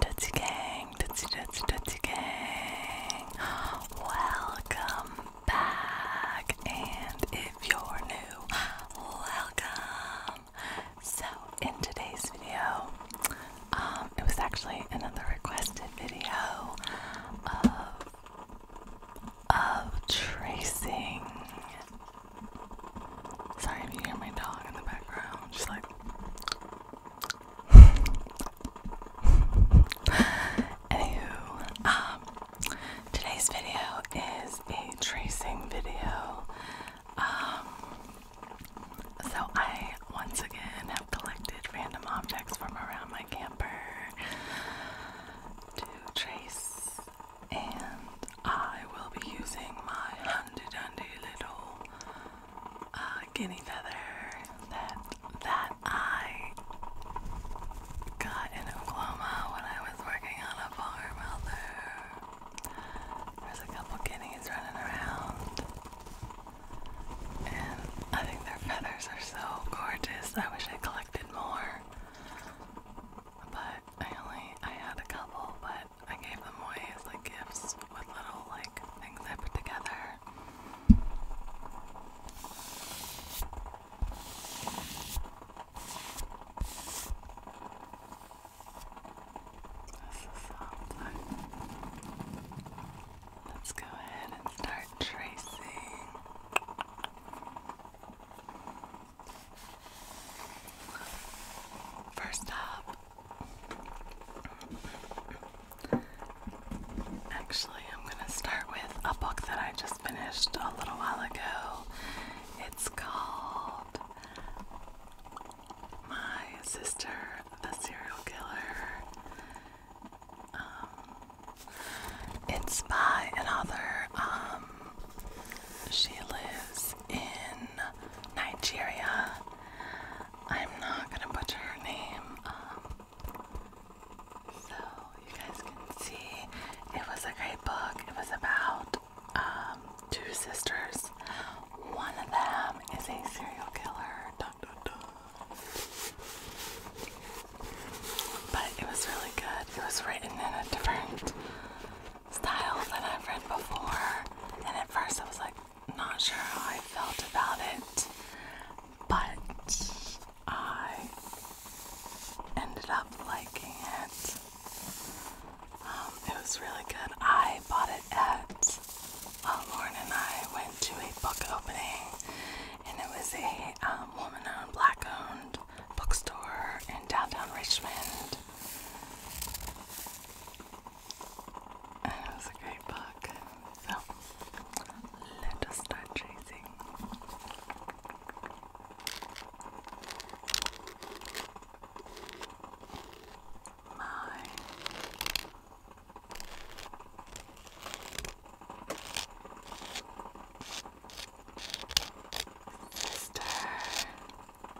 Tootsie Gang, Tootsie Tootsie Tootsie Gang, welcome back. And if you're new, welcome. So, in today's video, um, it was actually another requested video of of tracing Sorry if you hear my dog in the background. She's like. Anywho, um, today's video is a tracing video. Um, so I once again have collected random objects from around my camper to trace, and I will be using my handy dandy little uh, guinea feather that that I got in Oklahoma when I was working on a farm out there. There's a couple guineas running around, and I think their feathers are so gorgeous. I wish I collected more, but I only I had a couple, but I gave them away as like gifts with little like things I put together. This is soft. Let's go ahead and start tracing. First up, actually, I'm going to start with a book that I just finished a little while ago. It's called My Sister, the Serial Killer. Um, it's by an she lives in Nigeria. I'm not gonna butcher her name. Um, so you guys can see it was a great book. It was about um, two sisters. One of them is a serial killer. But it was really good. It was written in a different style that I've read before, and at first I was like, not sure how I felt about it, but I ended up liking it. Um, it was really good. I bought it at uh, Lauren and I went to a book opening, and it was a um, woman-owned, black-owned bookstore in downtown Richmond. it was a great book. So let us start tracing. My sister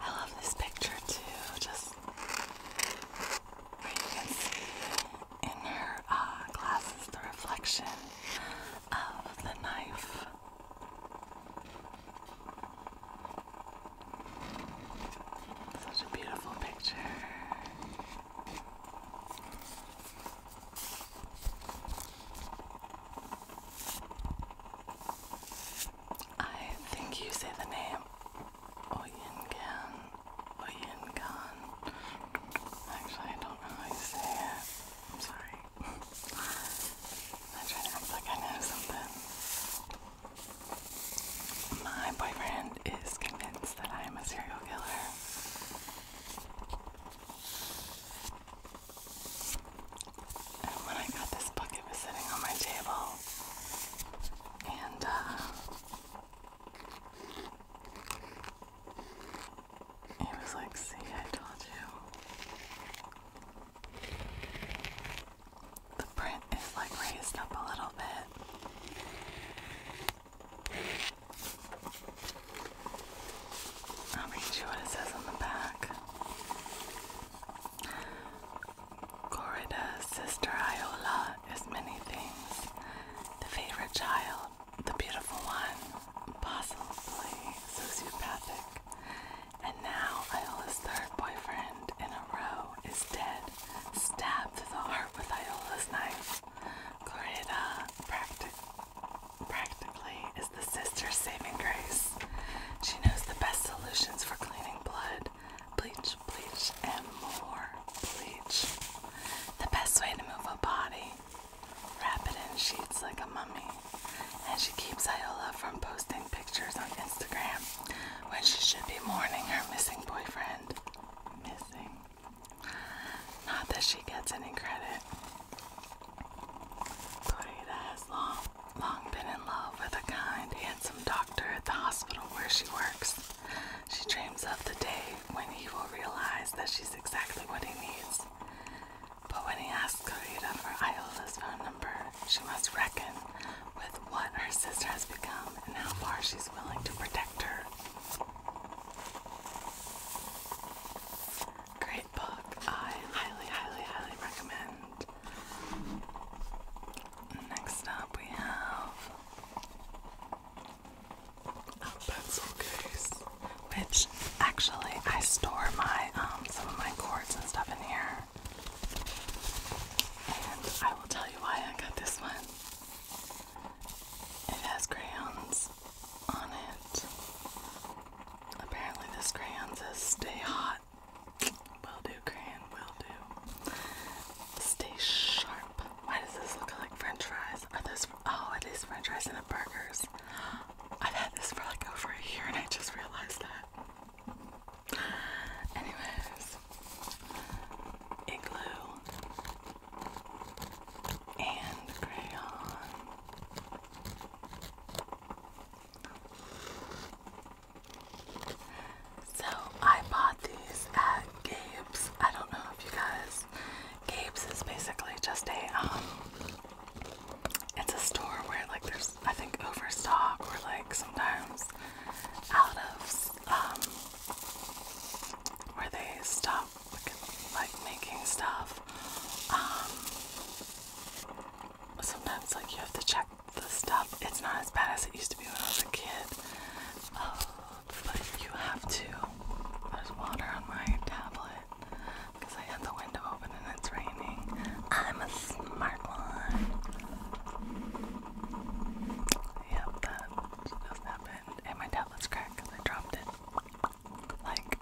I love this picture too, just where you can see in her uh, glasses the reflection of the knife. Such a beautiful picture. I think you say the name Oyengan, Oyengan. Actually, I don't know how you say it. I'm sorry. I try to act like I know something. My boyfriend is convinced that I am a serial killer. And when I got this book, was sitting on my table. And uh, was like, See, I told you. The print is like raised up a little bit. I'll read you what it says on the back. Corrida's sister Iola is many things. The favorite child, the beautiful one, possibly sociopathic. And now Iola's third boyfriend in a row is dead, stabbed to the heart with Iola's knife. Corrida practically is the sister's saving grace. She knows the best solutions for cleaning blood, bleach, bleach, and more bleach. The best way to move a body. Wrap it in sheets like a mummy. And she keeps Iola from posting pictures on Instagram when she should be mourning her missing boyfriend. Missing. Not that she gets any credit. Corita has long long been in love with a kind, handsome doctor at the hospital where she works. She dreams of the day when he will realize that she's exactly what he needs. But when he asks Karita for Iola's phone number, she must reckon with what her sister has become and how far she's willing to protect her. Great book. I highly, highly, highly recommend. Next up, we have a pencil case, which actually I store my um, some of my cords and stuff in here. And I will tell you why I got this one. It has crayons on it. Apparently, this crayons is Stay Hot. Will do, Crane, will do. Stay sharp. Why does this look like french fries? Are those, oh, it is french fries and burgers. I've had this for like over a year and I just realized that. Anyways, igloo and crayon. So I bought these at Gabe's. I don't know if you guys Gabe's is basically just a um, it's a store where like there's I think overstock or like sometimes out of um, where they stop like making stuff. Um, sometimes like you have to check the stuff. It's not as bad as it used to be when I was a kid. Oh, but you have to. There's water on my tablet because I had the window open and it's raining. I'm a smart one. Yep, that just happened. And my tablet's cracked because I dropped it. Like,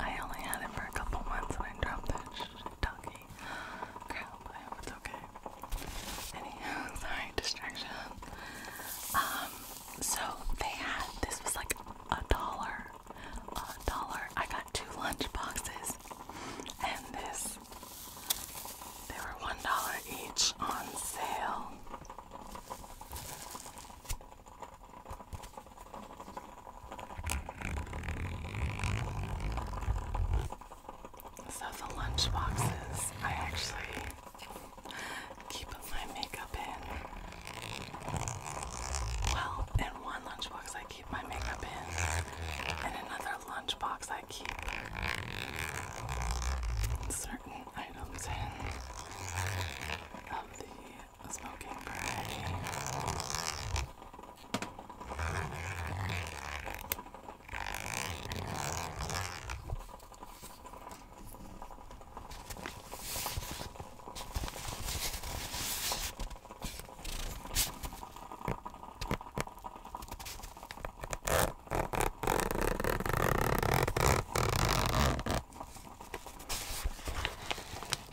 I only had it for a couple months and I dropped that doggy. Crap, it's okay. Anyhow, sorry, distraction. Um, so they had this was like a dollar. A dollar. I got two lunch boxes and this they were one dollar each on sale. So the lunchboxes I actually keep my makeup in. Well, in one lunchbox I keep my makeup in, and another lunchbox I keep certain items in of the the smoking gray.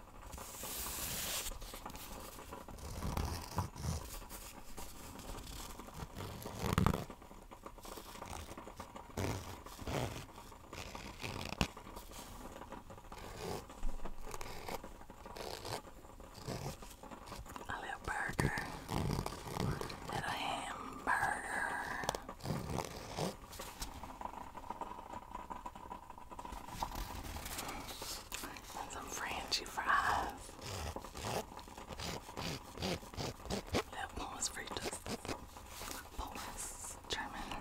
A little burger, little hamburger. And some Frenchy fries. That one was fritas. Polish, German.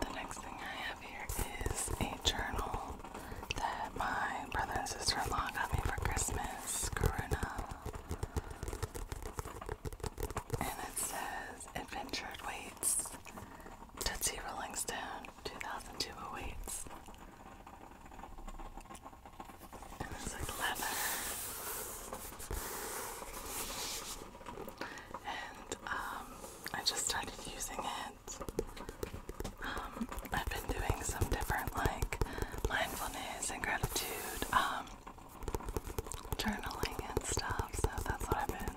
The next thing I have here is a journal that my brother and sister in law got me for Christmas, Karuna. And it says Adventure Awaits. Tootsie Rolling Stone 2002 awaits. And it's like leather. And um, I just started using it. Um, I've been doing some different like mindfulness and gratitude um, journaling and stuff, so that's what I've been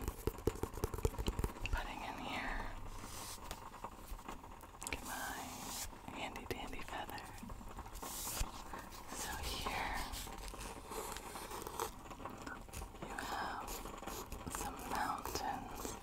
putting in here. Look my handy dandy feather. So here you have some mountains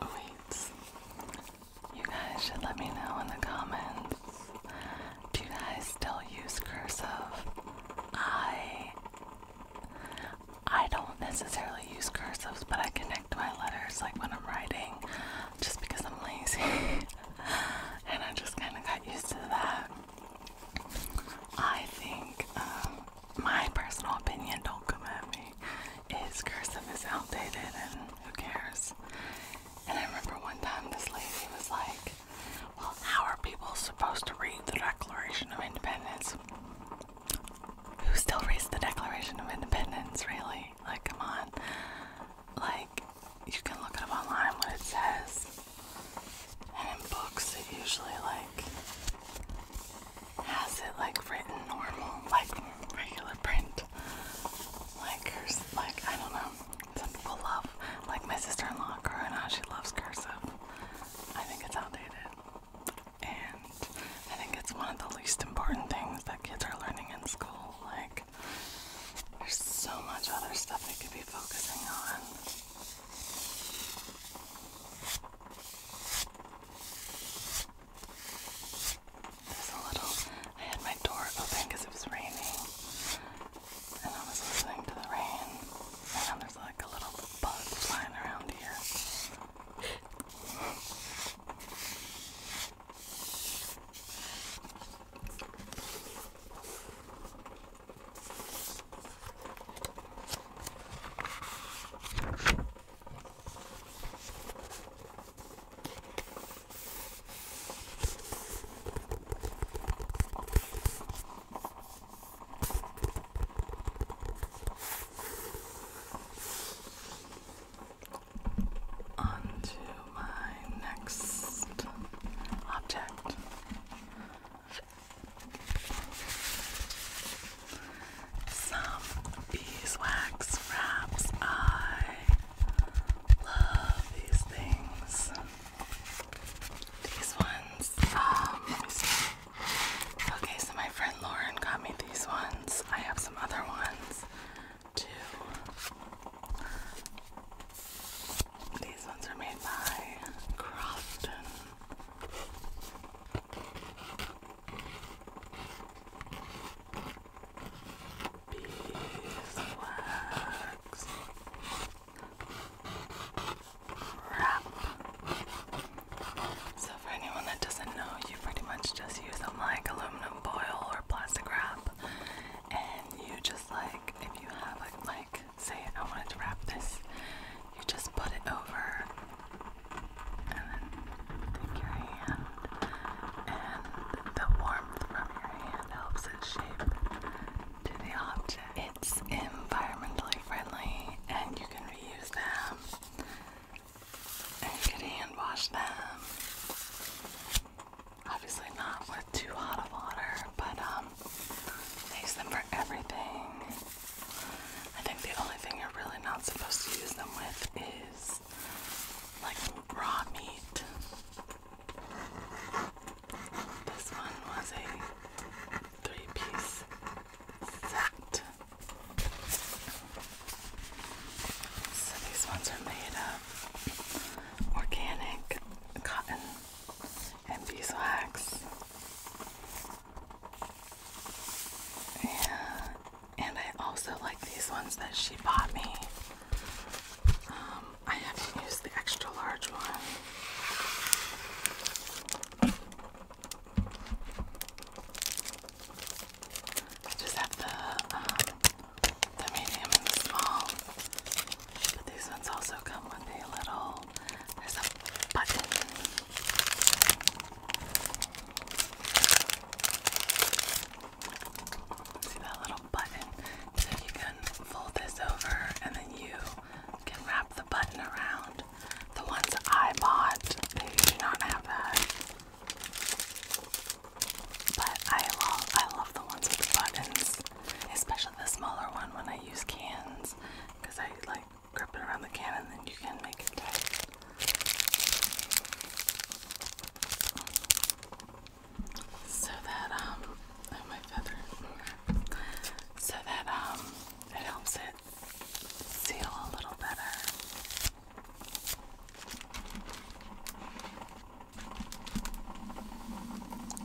Wait. You guys should let me know in the comments. Do you guys still use cursive? I I don't necessarily use cursive, but I connect my letters like when I'm writing just because I'm lazy. and I just kind of got used to that. I think um, my personal opinion, don't come at me, is cursive is outdated and who cares? And I remember one time this lady was like, Well, how are people supposed to read the Declaration of Independence? Who still reads the Declaration of Independence, really? Like, come on. Like, you can look up online what it says. And in books, it usually, like, has it like written normal, like regular print. Like here's like I don't know. Some people love like my sister-in-law Corona, she loves cursive. I think it's outdated. And I think it's one of the least important things that kids are learning in school. Like there's so much other stuff they could be focusing on. There's a little. I had my door open because it was raining, and I was listening to the rain. And now there's like a little bug flying around here. On to my next object. Some beeswax wraps. I love these things. These ones, um, Okay, so my friend Lauren got me these ones. I have some other ones too. These ones are made by Crofton. Beeswax. Wrap. So for anyone that doesn't know, you pretty much just use them like aluminum foil or plastic wrap, and you just like if you have like like say I wanted to wrap this you just put it over and then take your hand, and the warmth from your hand helps it shape to the object. It's environmentally friendly, and you can reuse them, and hand wash them. Obviously, not with too hot of water, but um, use them for everything. I think the only thing you're really not supposed to use them with is like raw meat. This one was a three piece set. So these ones are made of organic cotton and beeswax. Yeah, and I also like these ones that she bought me. Um, I haven't used the extra large one. just have the um, the medium and the small. But these ones also come with a little. There's a button See that little button? So you can fold this over and then you can wrap the button around. The ones I bought, do not have that. But I love I love the ones with the buttons. Especially the smaller one when I use cans. Because I like grip it around the can and then you can make it tight. So that, um, oh, so that, um, it helps it seal a little better.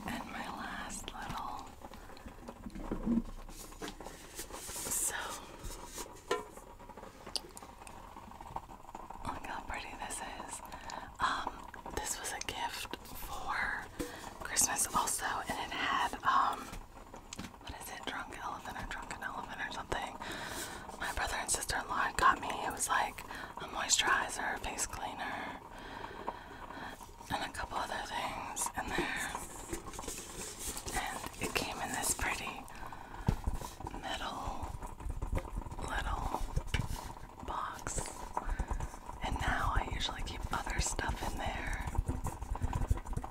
And my last little so, look how pretty this is. Um, this was a gift for Christmas also, and it had, um, what is it, drunk elephant or drunken elephant or something. My brother and sister-in-law got me, it was like a moisturizer, face cleaner, and a couple other things in there. And it came in this pretty metal little box. And now I usually keep other stuff in there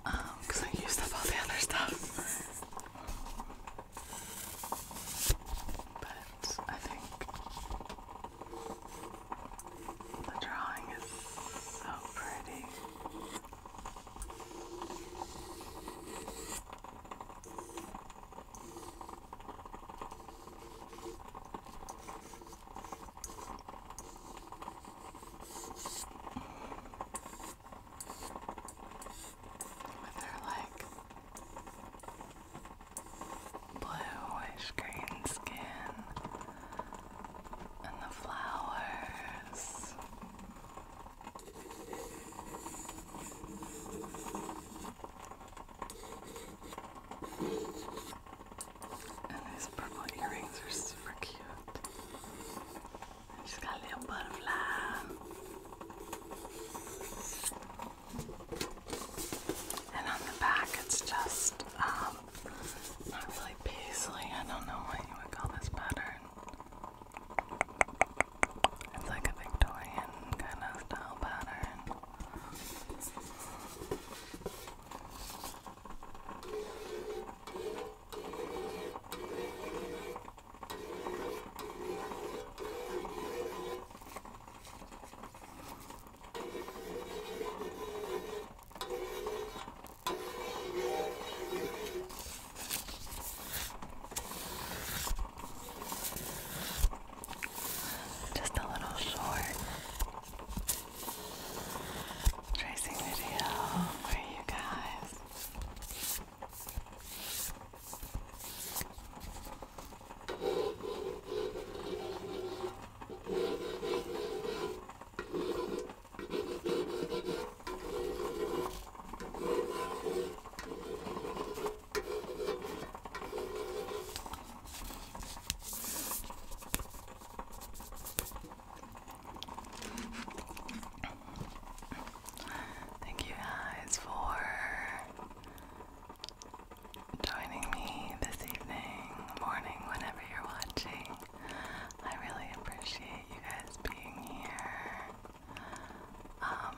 because um, I used up all the other stuff. But I think the drawing is so pretty. With her like bluish green skin and the flowers. And these purple earrings are super cute. She's got a little butterfly. And on the back, it's just um, not really paisley. I don't know what you would call this pattern. It's like a Victorian kind of style pattern. Just a little short tracing video for you guys. Thank you guys for joining me this evening, morning, whenever you're watching. I really appreciate you guys being here. Um,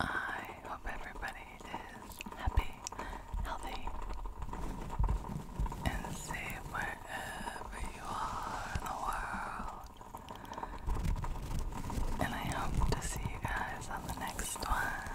I hope everybody is happy, healthy, and safe wherever you are in the world. And I hope to see you guys on the next one.